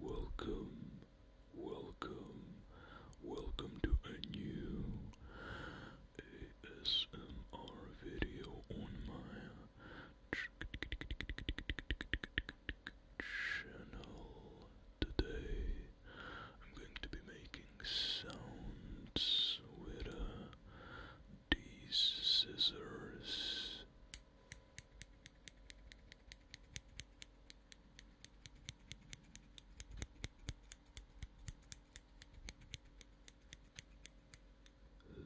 Welcome, welcome, welcome to a new ASMR video on my channel. Today I'm going to be making sounds with these scissors. As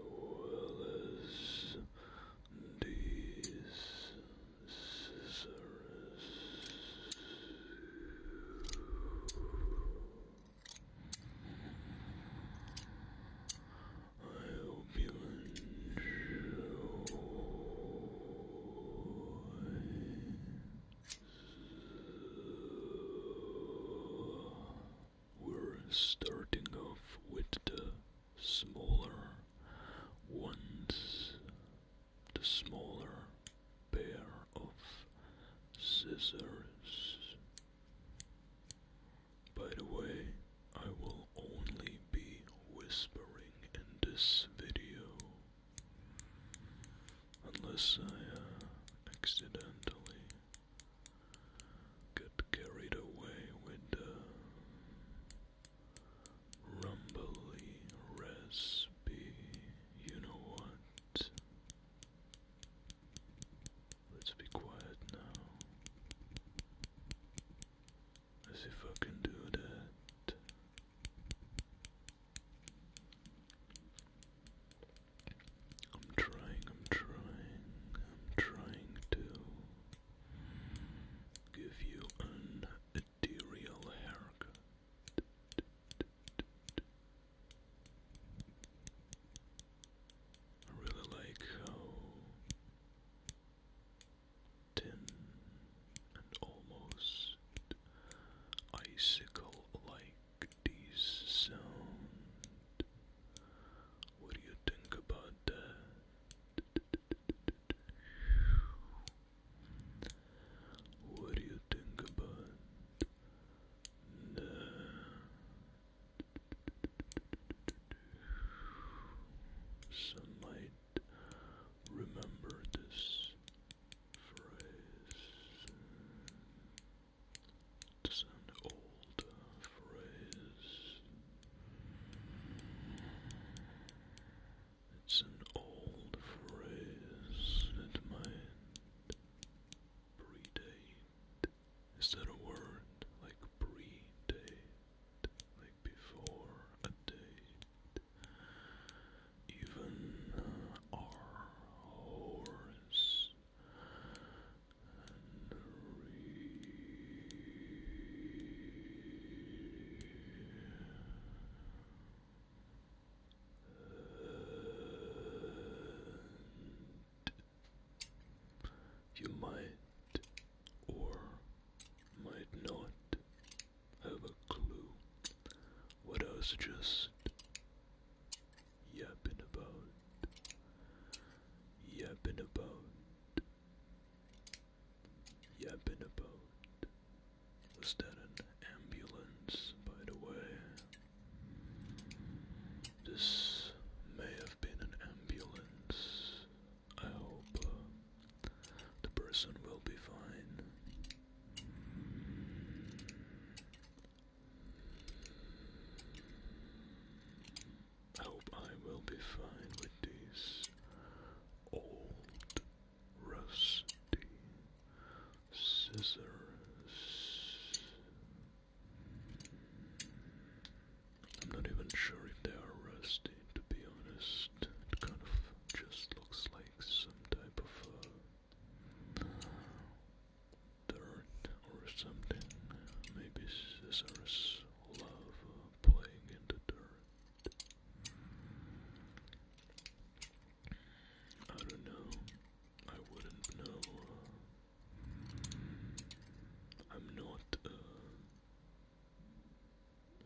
well as these I hope you enjoy. We're starting off with the smaller ones the smaller pair of scissors. By the way, I will only be whispering in this video unless I uh, accidentally get carried away with uh, rumbly respy. You know what? Let's be quiet now. see if I can do that. I'm trying, I'm trying, I'm trying to give you an Arterial haircut. I really like how thin and almost icicle like these sound. What do you think about that? What do you think about that? Some remember this phrase. It's an old phrase. It's an old phrase that my predate. Is that a word? Like predate? Like before a date? Even our horse and read. You might or might not have a clue what I was just yapping about, yapping about yapping about. Was that an ambulance, by the way? This may have been an ambulance. I hope uh, the person will be fine. I hope I will be fine with these old Rusty scissors. I'm not even sure if they are rusty, to be honest. It kind of just looks like some type of uh, dirt or something. Maybe scissors love uh, playing in the dirt. I don't know. I wouldn't know. I'm not uh,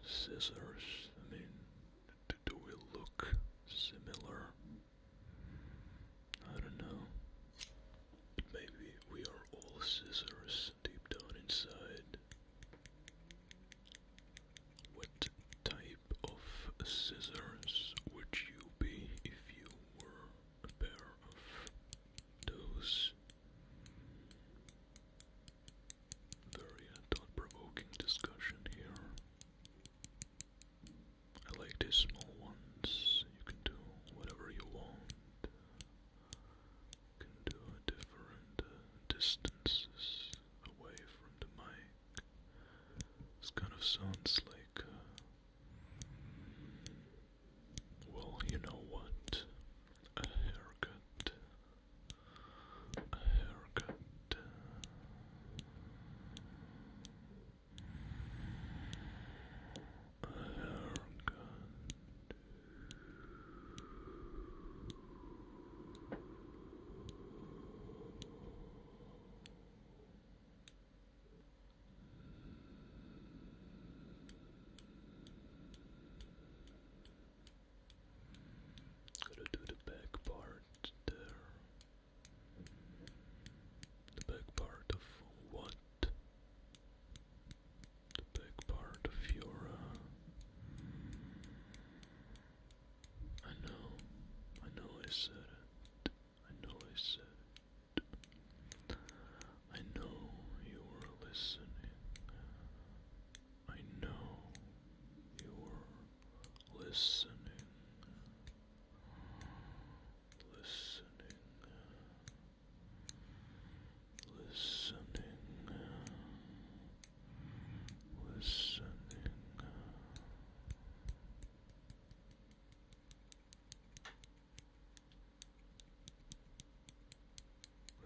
scissors. I mean, do, we look similar? I don't know. maybe we are all scissors deep down inside. What type of scissors would you be if you were a pair of those? Very uh, thought provoking discussion here. I like these small ones, you can do whatever you want can do different uh, distances away from the mic. This kind of sounds like, uh, well, you know what? A haircut. A haircut. haircut. Gotta do the back part there. The back part of what? the big part of your. Uh, I know, I know I said it. I know I said it. I know you were listening. I know you were listening. Listening listening, listening.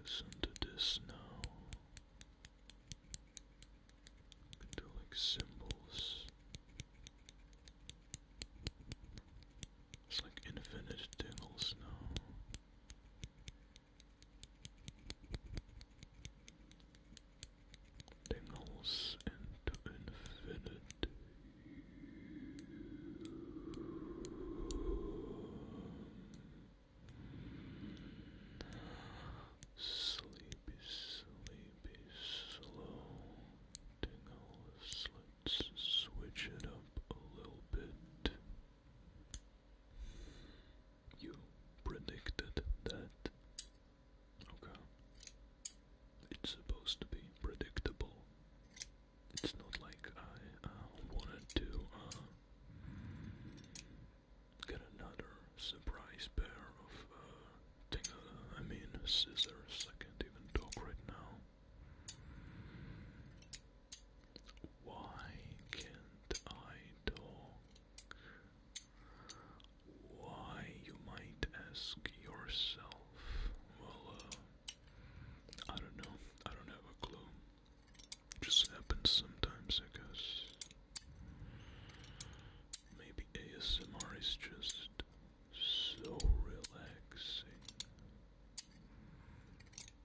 Listen to this now. Do like symbols. It's like infinite tingles now. Dangles into infinity. Sleepy, sleepy, slow tingles. Let's switch it up a little bit. You predicted that. Okay. It's supposed to be predictable. It's not like I uh, wanted to uh, get another surprise pair of uh, uh, I mean, scissors. I can't even talk right now. Why can't I talk? Why, you might ask yourself. Well, uh, I don't know. I don't have a clue. Just happens sometimes, I guess. Maybe ASMR is just so relaxing.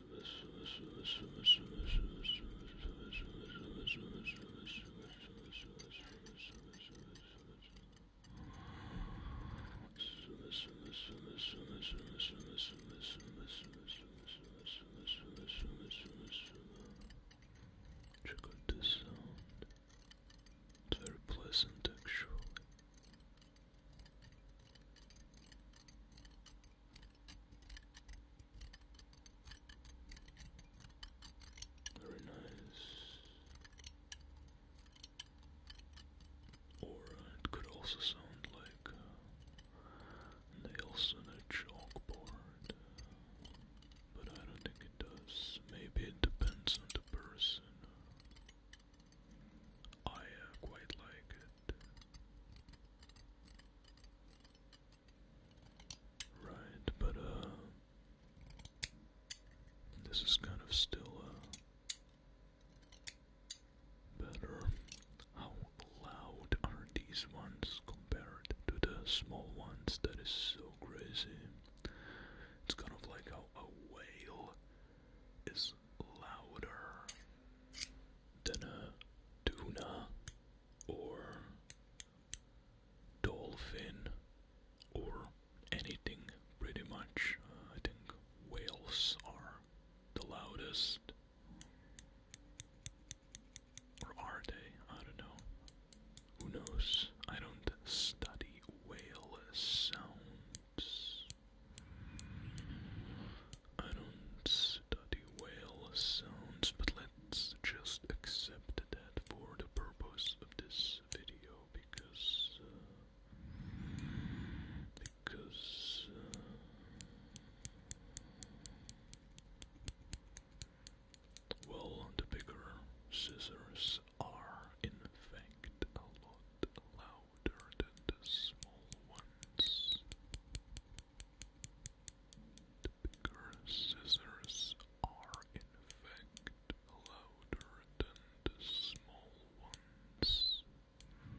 Check out this sound. It's very pleasant actually. Very nice. Or it could also sound like nails on a chalkboard, but I don't think it does. Maybe it depends on the person. I uh, quite like Right, but uh this is kind of still uh better. How loud are these ones compared to the small ones? That is so crazy. It's kind of like how a whale is louder than a tuna or dolphin or anything pretty much. Uh, I think whales are the loudest. Or are they? I don't know. Who knows? I don't study whale sounds. I don't study whale sounds, but let's just accept that for the purpose of this video because uh, because uh, well, the bigger scissors are in fact a lot louder than the small ones. The bigger scissors are in fact louder than the small ones.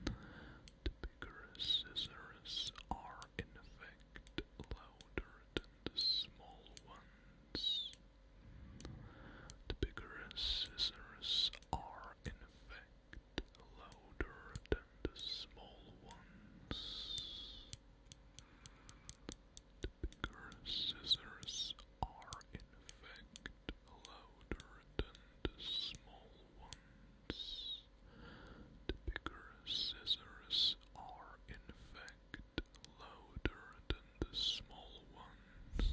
The bigger scissors are in fact louder than the small ones. The bigger scissors are in fact louder than the small ones. The bigger scissors are in fact louder than the small ones. The bigger scissors are in fact louder than the small ones.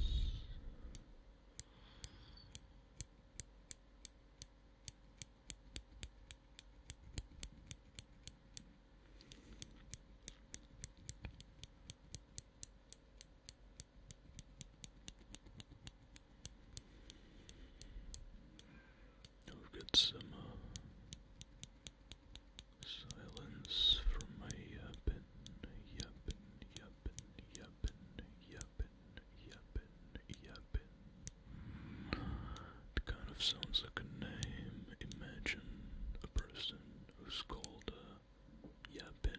I've got some uh, silence from my yappin, yappin, yappin, yappin, yappin, yappin, yappin, happen. It kind of sounds like a name. Imagine a person who's called uh,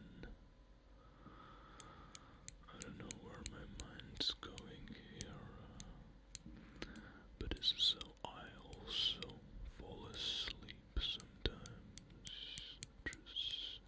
I don't know where my mind's going here, but this is I also fall asleep sometimes. Just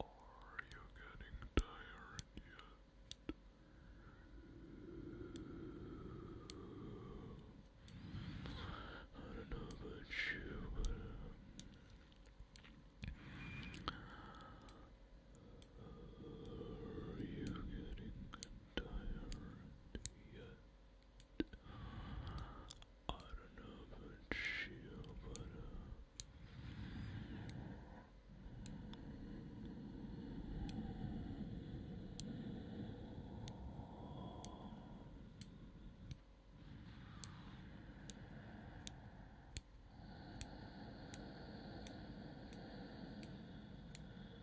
Are you getting tired yet? I don't know about you, but are you getting tired I don't know about you, but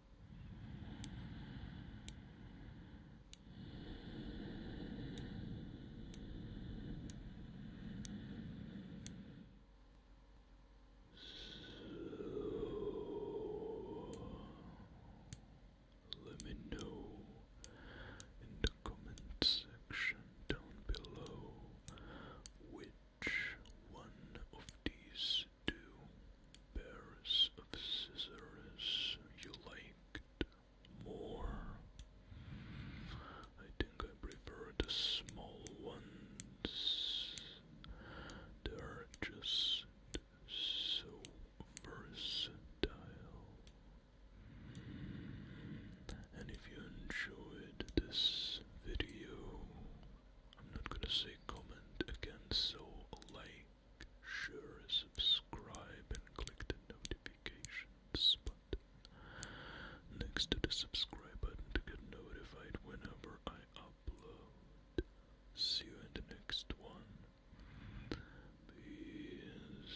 So, let me know in the comment section down below which one of these two pairs of scissors you liked more? I think I prefer the small ones. They're just so versatile. And if you enjoyed this video, I'm not gonna say comment again, so like, share, subscribe, and click the notification button next to the subscribe button to get notified whenever I upload. See you in the next one. Peace.